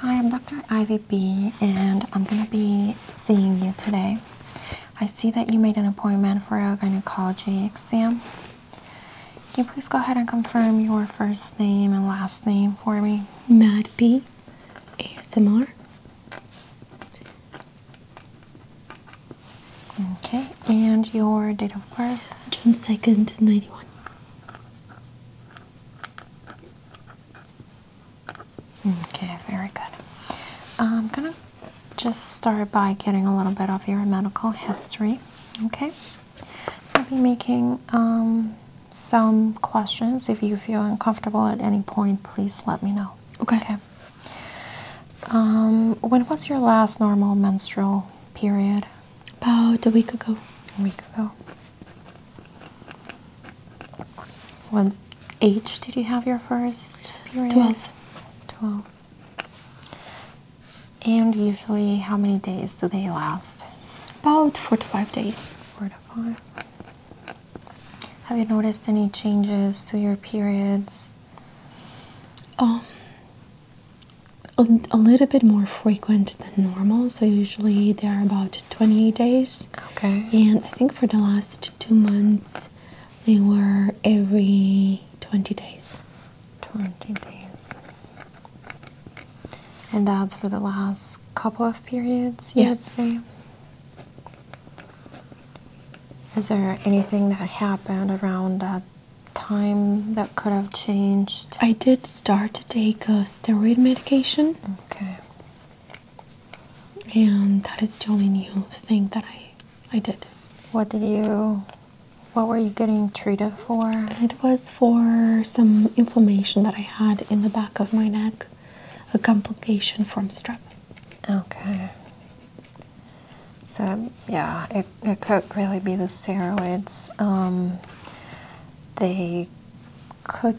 Hi, I'm Dr. Ivy B, and I'm going to be seeing you today. I see that you made an appointment for a gynecology exam. Can you please go ahead and confirm your first name and last name for me? Mad B, ASMR. Okay, and your date of birth? June 2nd, 91. Okay, very good. I'm gonna just start by getting a little bit of your medical history. Okay, I'll be making um, some questions. If you feel uncomfortable at any point, please let me know. Okay. Um, when was your last normal menstrual period? About a week ago. A week ago. What age did you have your first? Period? 12. 12. And usually, how many days do they last? About four to five days. Four to five. Have you noticed any changes to your periods? Um, a, little bit more frequent than normal. So usually they are about 28 days. Okay. And I think for the last two months they were every 20 days. 20 days. And that's for the last couple of periods, you would say? Is there anything that happened around that time that could have changed? I did start to take a uh, steroid medication. Okay. And that is the only new thing that I I did. What did you what were you getting treated for? It was for some inflammation that I had in the back of my neck, a complication from strep. Okay. So yeah, it, it could really be the steroids. Um, they could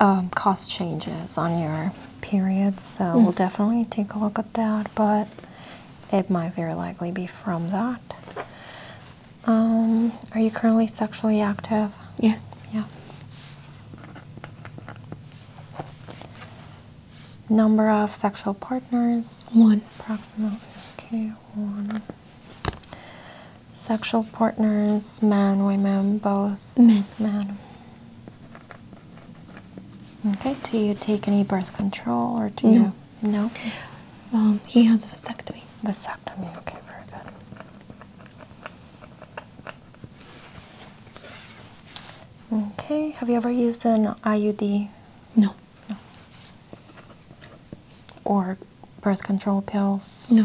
um, cause changes on your periods, so hmm. we'll definitely take a look at that, but it might very likely be from that. Um, are you currently sexually active? Yes. Yeah. Number of sexual partners? One. Approximately. Okay, one sexual partners, men, women, both. Men. Men. Okay, do you take any birth control or do no. No. Um, he has vasectomy. Vasectomy, okay, very good. Okay, have you ever used an IUD? No. No. Or birth control pills? No.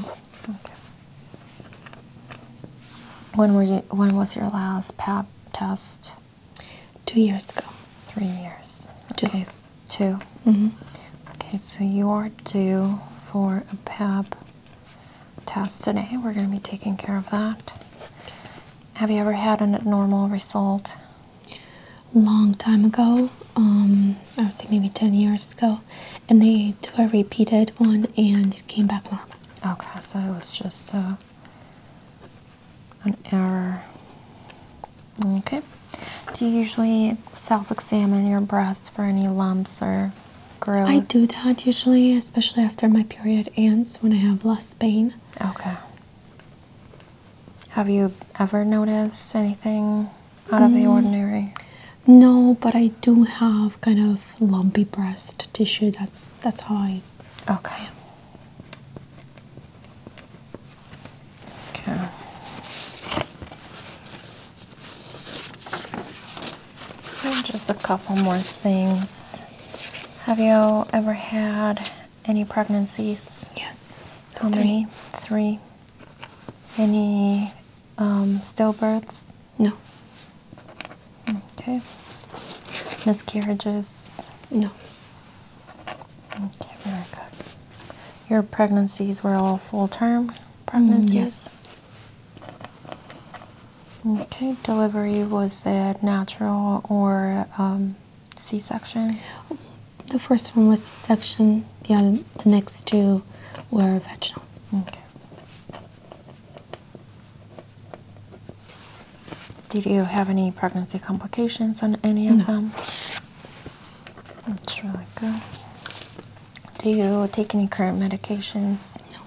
Okay. When were you? When was your last Pap test? Two years ago. Three years. Two. Okay, two. -hmm. Okay, so you are due for a Pap test today. We're going to be taking care of that. Have you ever had an abnormal result? long time ago. Um, I would say maybe 10 years ago. And they do a repeated one and it came back normal. Okay, so it was just uh, an error. Okay. Do you usually self examine your breasts for any lumps or growth? I do that usually, especially after my period ends when I have less pain. Okay. Have you ever noticed anything out of the mm. ordinary? No, but I do have kind of lumpy breast tissue. That's that's how I. Okay. Okay. just a couple more things. Have you ever had any pregnancies? Yes. How many? Three. Any um, stillbirths? No. Okay. Miscarriages? No. Okay, Your pregnancies were all full term pregnancies? Mm, yes. Okay, delivery was it natural or um, C section? Um, the first one was section The the next two were vaginal. Okay. Did you have any pregnancy complications on any of no. them? That's really good. Do you take any current medications? No.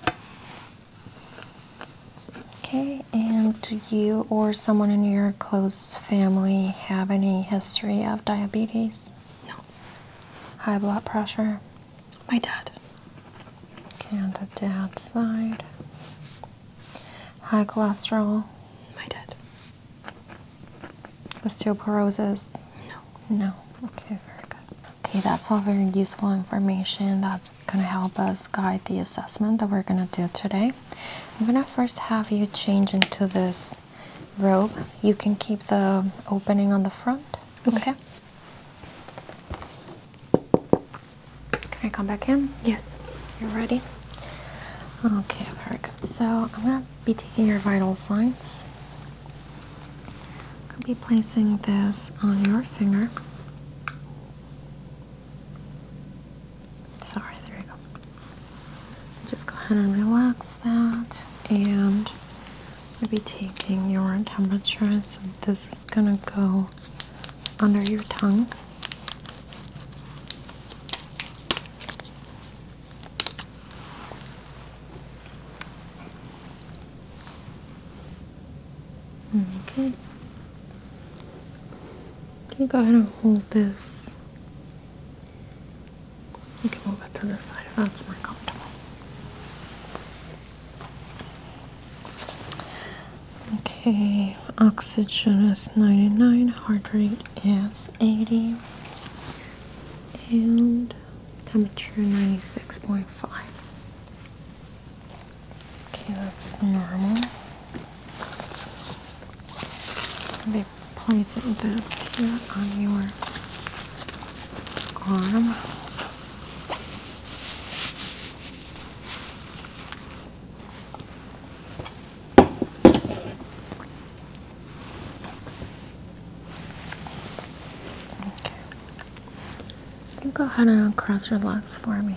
Okay, and do you or someone in your close family have any history of diabetes? No. High blood pressure? My dad. Okay, on the dad's side. High cholesterol? My dad. Osteoporosis? No. No. Okay, very good. Okay, that's all very useful information that's going to help us guide the assessment that we're going to do today. I'm going to first have you change into this robe. You can keep the opening on the front. Mm-hmm. Okay. Can I come back in? Yes. You're ready? Okay, very good. So I'm going to be taking your vital signs. i will be placing this on your finger. Sorry, there you go. Just go ahead and relax that and we'll be taking your temperature. So this is gonna go under your tongue. Okay. Can you go ahead and hold this you can move it to the side if that's more comfortable. Okay, oxygen is 99, heart rate is 80, and temperature 96.5. Okay, that's normal they place this here on your arm. Okay. You go ahead and cross your legs for me.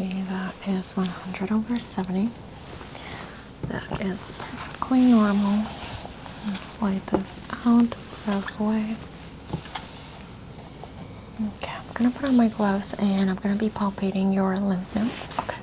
Okay, that is 100 over 70. That is perfectly normal. I'll slide this out out of Okay, I'm gonna put on my gloves and I'm gonna be palpating your lymph nodes. Okay.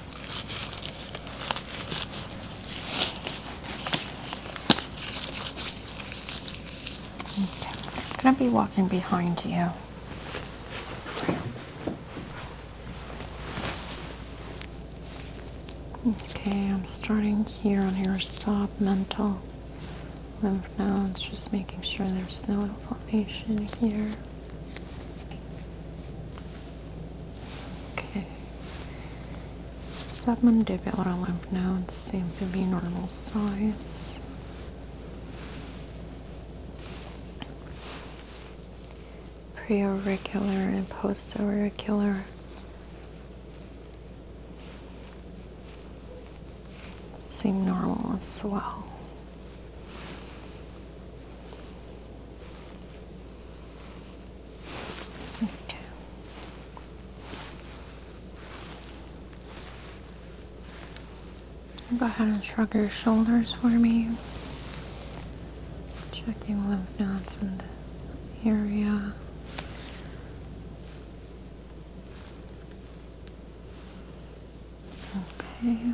Can i be walking behind you. Okay, I'm starting here on your mental lymph nodes, just making sure there's no inflammation here. Okay. Submandibular lymph nodes seem to be normal size. Preauricular and postauricular. seem normal as well. Okay. Go ahead and shrug your shoulders for me. Checking lymph nodes in this area. Okay.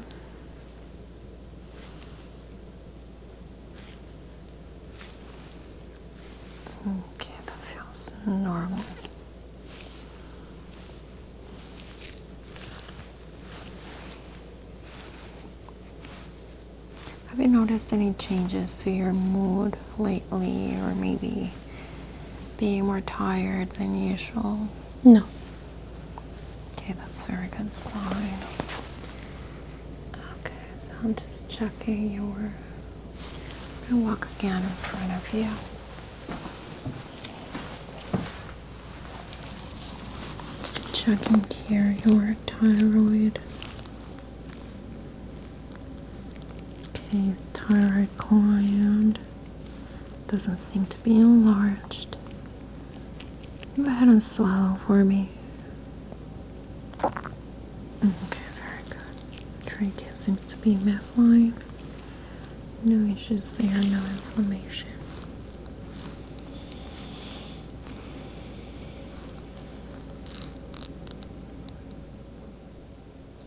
Okay, that feels normal. Have you noticed any changes to your mood lately, or maybe being more tired than usual? No. Okay, that's a very good sign. Okay, so I'm just checking your. I'm gonna walk again in front of you. Checking here your thyroid. Okay, thyroid gland doesn't seem to be enlarged. Go ahead and swallow for me. Okay, very good. Trachea seems to be midline. No issues there, no inflammation.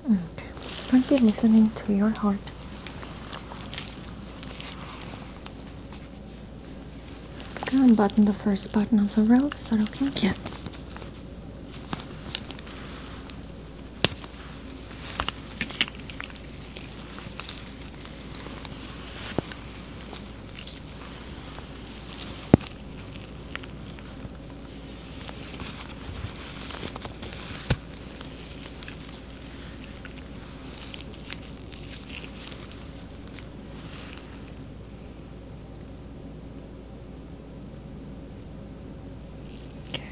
Okay, I'll listening to your heart. Can unbutton the first button of the robe? Is that okay? Yes. Okay.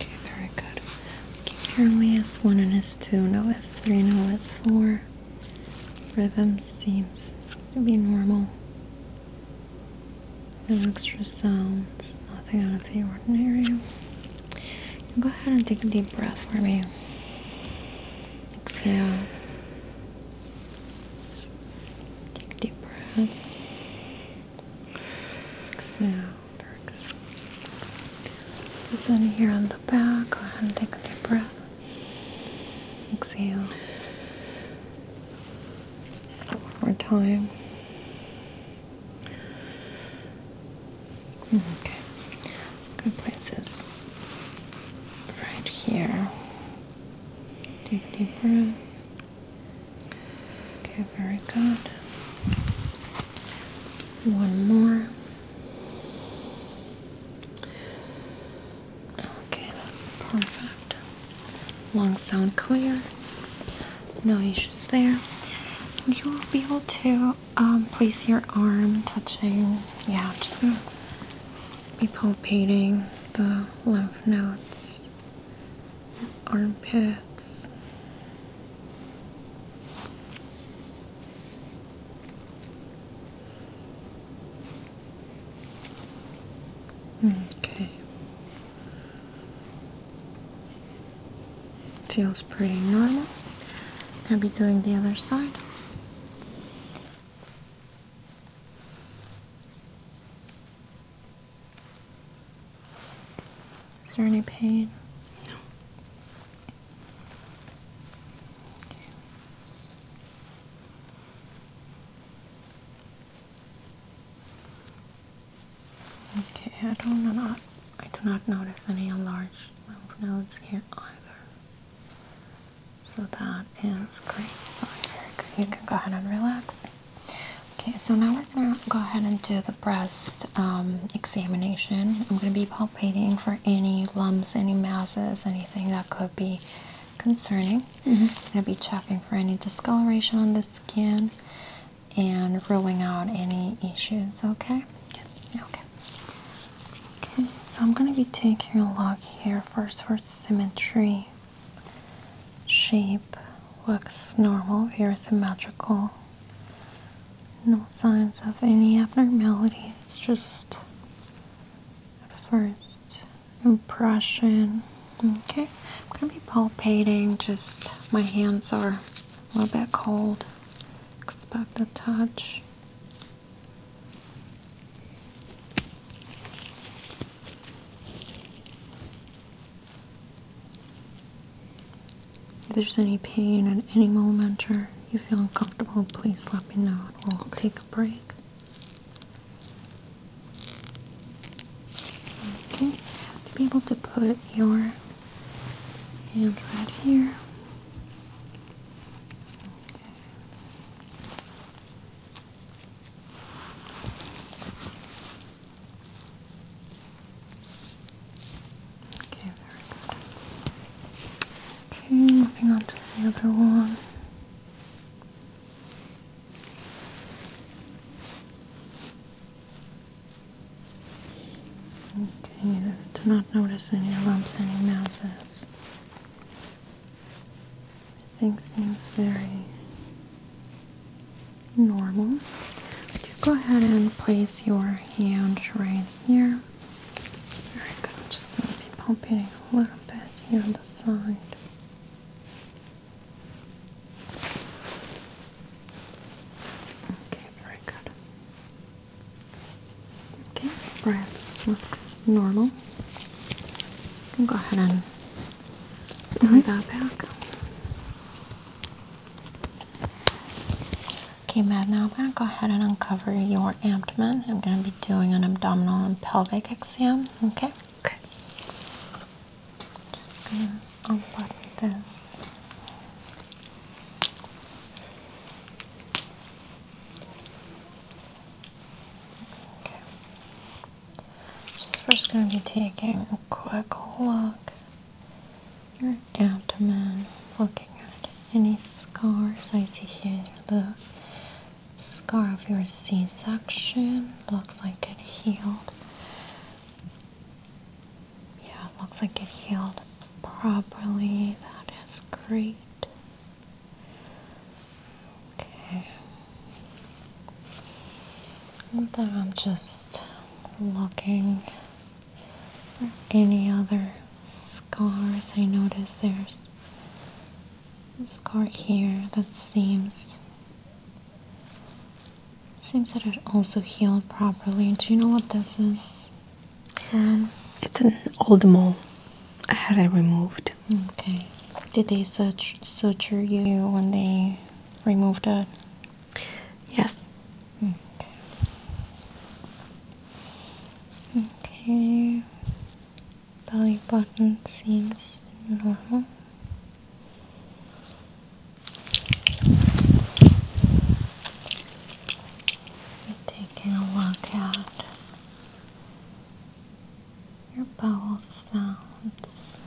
Okay, very good. Keep S1 and S2, no S3, no S4. Rhythm seems to be normal no extra sounds, nothing out of the ordinary. Go ahead and take a deep breath for me. Exhale. Take a deep breath. Exhale. Very good. here on the back. Go ahead and take a deep breath. Exhale. One more time. Okay, I'm place this right here. Deep, deep breath. Okay, very good. One more. Okay, that's perfect. Long sound clear. No issues there. You will be able to um, place your arm touching. Yeah, just gonna be palpating the lymph nodes, armpits. Okay. Feels pretty normal. I'll be doing the other side. Is there any pain? No. Okay, I do not I do not notice any enlarged lymph nodes here either. So that is great sign. Very good. You can go ahead and relax. Okay, so now we're gonna go ahead and do the breast um, examination. I'm gonna be palpating for any lumps, any masses, anything that could be concerning. I'm mm-hmm. gonna be checking for any discoloration on the skin and ruling out any issues, okay? Yes, okay. Okay, so I'm going to be taking a look here first for symmetry. Shape looks normal, very symmetrical. No signs of any abnormality, it's just at first impression. Okay, I'm going to be palpating, just my hands are a little bit cold. Expect a touch. If there's any pain at any moment or you feel uncomfortable, please let me know. We'll take a break. Okay, to be able to put your hand right here. Okay. Okay, Okay, moving on to the other one. Okay, do not notice any lumps, any masses. Everything seems very normal. Would you go ahead and place your hand right here? Very good. I'm just going to be palpating a little bit here on the side. Okay, very good. Okay, breasts look normal. I'll go ahead and tie that mm-hmm. back. Okay, Matt, now I'm going to go ahead and uncover your abdomen. I'm going to be doing an abdominal and pelvic exam, okay? Okay. Just gonna unbutton this. Okay. Just first gonna be taking a quick look at your abdomen, looking at any scars. I see here the scar of your C-section. Looks like it healed yeah, it looks like it healed properly. That is great. Okay. And then I'm just looking for any other scars. I notice there's a scar here that seems Seems that it also healed properly. Do you know what this is It's an old mole. I had it removed. Okay. Did they such suture you when they removed it? Yes. Okay. Okay. Belly button seems normal. We're taking a look at your bowel sounds.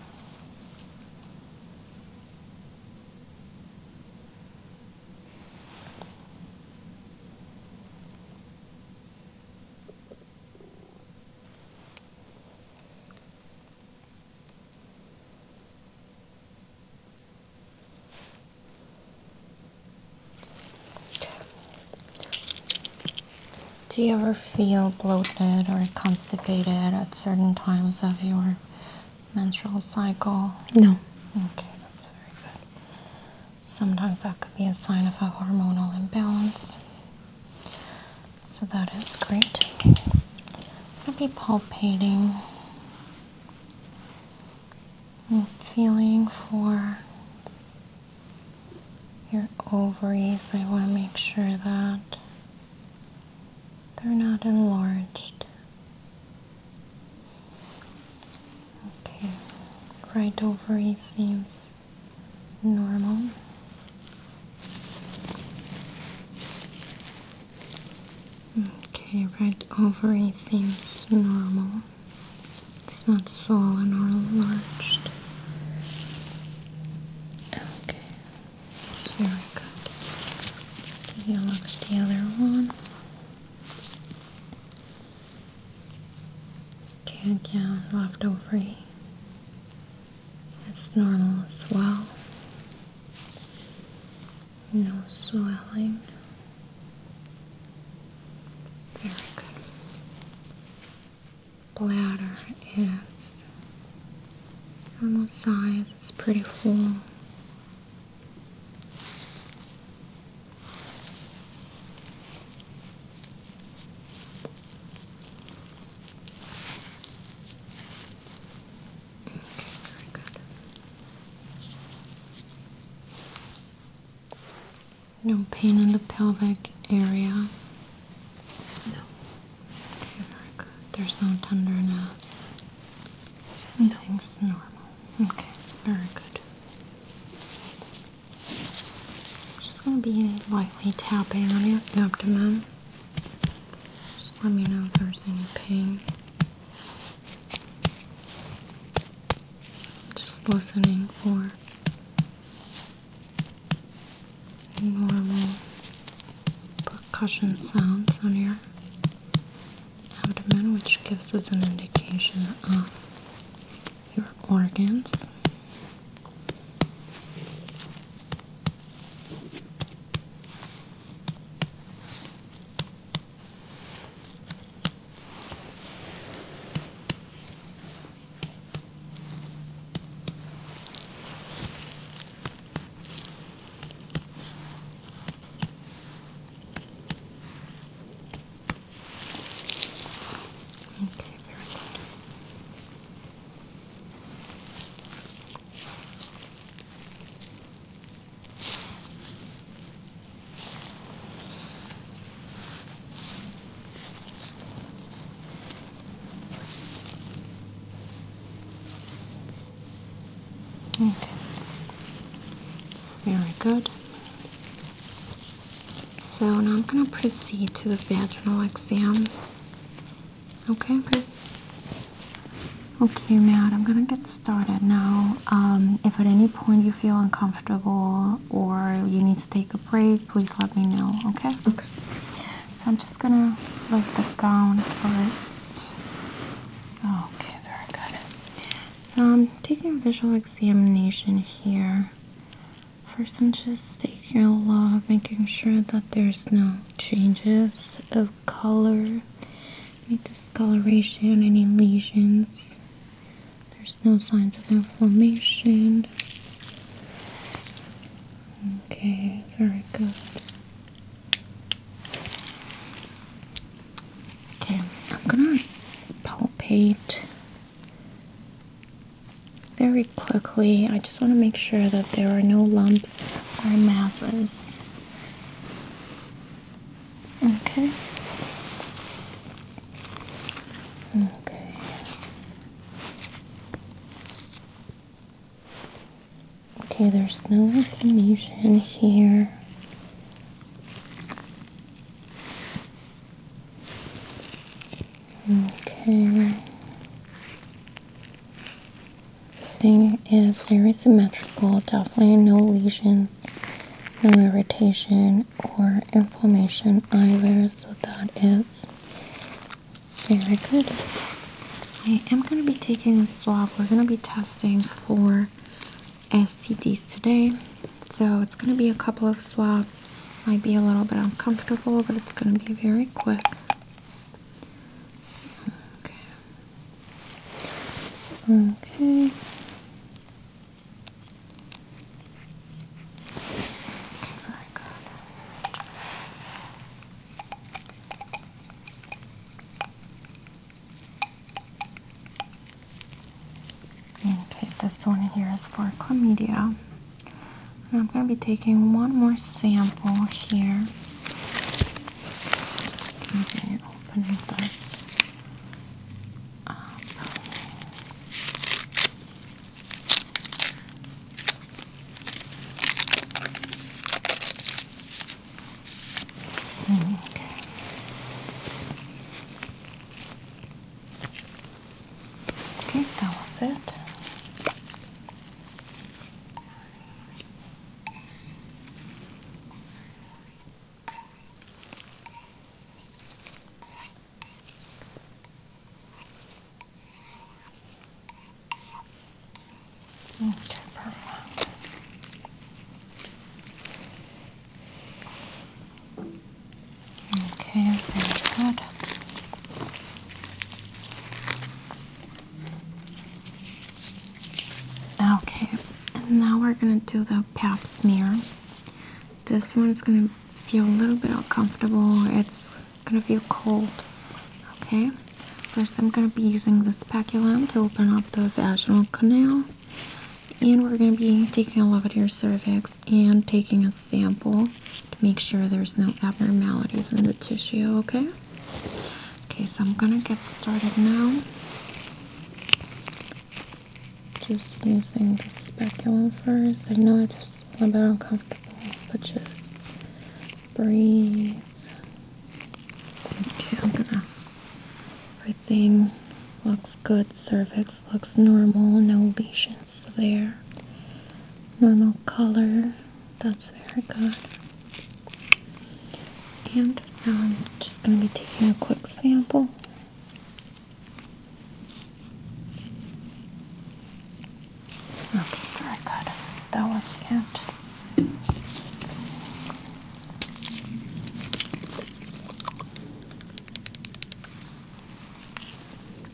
Do you ever feel bloated or constipated at certain times of your menstrual cycle? No. Okay, that's very good. Sometimes that could be a sign of a hormonal imbalance. So that is great. I'll be palpating and feeling for your ovaries. I want to make sure that they're not enlarged. Okay, right ovary seems normal. Okay, right ovary seems normal. It's not swollen or enlarged. Okay, very good. Take a look at the other one. Okay, count left ovary. It's normal as well. No swelling. Very good. Bladder is normal size. It's pretty full. No pain in the pelvic area. No. very good. There's no tenderness. Everything's normal. Okay, very good. Just going to be lightly tapping on your abdomen. Just let me know if there's any pain. Just listening for normal percussion sounds on your abdomen, which gives us an indication of your organs. Okay, very good. Okay, it's very good. So now I'm going to proceed to the vaginal exam. Okay. Okay, Okay, Matt, I'm going to get started now. Um, if at any point you feel uncomfortable or you need to take a break, please let me know, okay? Okay. So I'm just going to lift the gown first. Okay, very good. So I'm taking a visual examination here. First, I'm just taking a look, making sure that there's no changes of color, any discoloration, any lesions. There's no signs of inflammation. Okay, very good. Okay, I'm gonna palpate very quickly, I just want to make sure that there are no lumps or masses. Okay. Okay. Okay, there's no inflammation here. Okay. Thing is very symmetrical, definitely no lesions, no irritation or inflammation either, so that is very good. I am going to be taking a swab. We're going to be testing for STDs today. So it's going to be a couple of swabs. Might be a little bit uncomfortable, but it's going to be very quick. Okay. Okay. Okay, very good. Okay, this one here is for chlamydia. And I'm going to be taking one more sample here. Okay. Okay, that was it. Okay, perfect. Okay, very good. Okay, and now we're gonna do the pap smear. This one's gonna feel a little bit uncomfortable. It's gonna feel cold. Okay, first I'm gonna be using this speculum to open up the vaginal canal. And we're gonna be taking a look at your cervix and taking a sample to make sure there's no abnormalities in the tissue, okay? Okay, so I'm gonna get started now. Just using the speculum first. I know it's a little bit uncomfortable, but just breathe. Okay, I'm going Everything looks good. Cervix looks normal. No lesions there normal color. That's very good. And now I'm just going to be taking a quick sample. Okay, very good. That was it.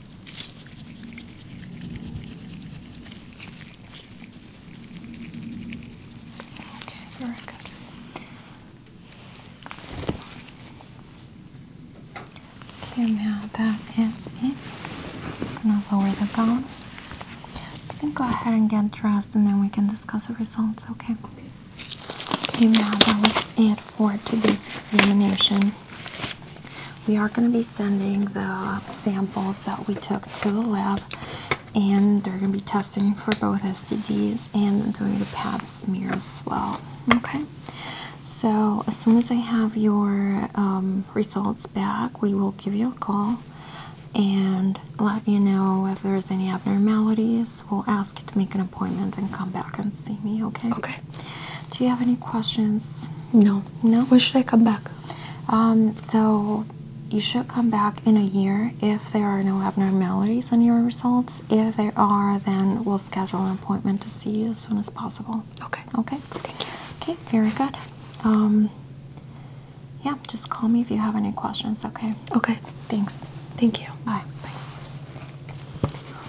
Okay, very good. Okay, now that is it. I'm gonna lower the gown. You can go ahead and get dressed and then we can discuss the results, okay? Okay, now that was it for today's examination. We are going to be sending the samples that we took to the lab, and they're going to be testing for both STDs and doing the pap smear as well. Okay, so as soon as I have your um, results back, we will give you a call and let you know if there's any abnormalities. We'll ask you to make an appointment and come back and see me, okay? Okay. Do you have any questions? No. No. When should I come back? Um, so you should come back in a year if there are no abnormalities in your results. If there are, then we'll schedule an appointment to see you as soon as possible. Okay. Okay. Okay. Very good. Um, yeah. Just call me if you have any questions. Okay. Okay. Thanks. Thank you. Bye. Bye.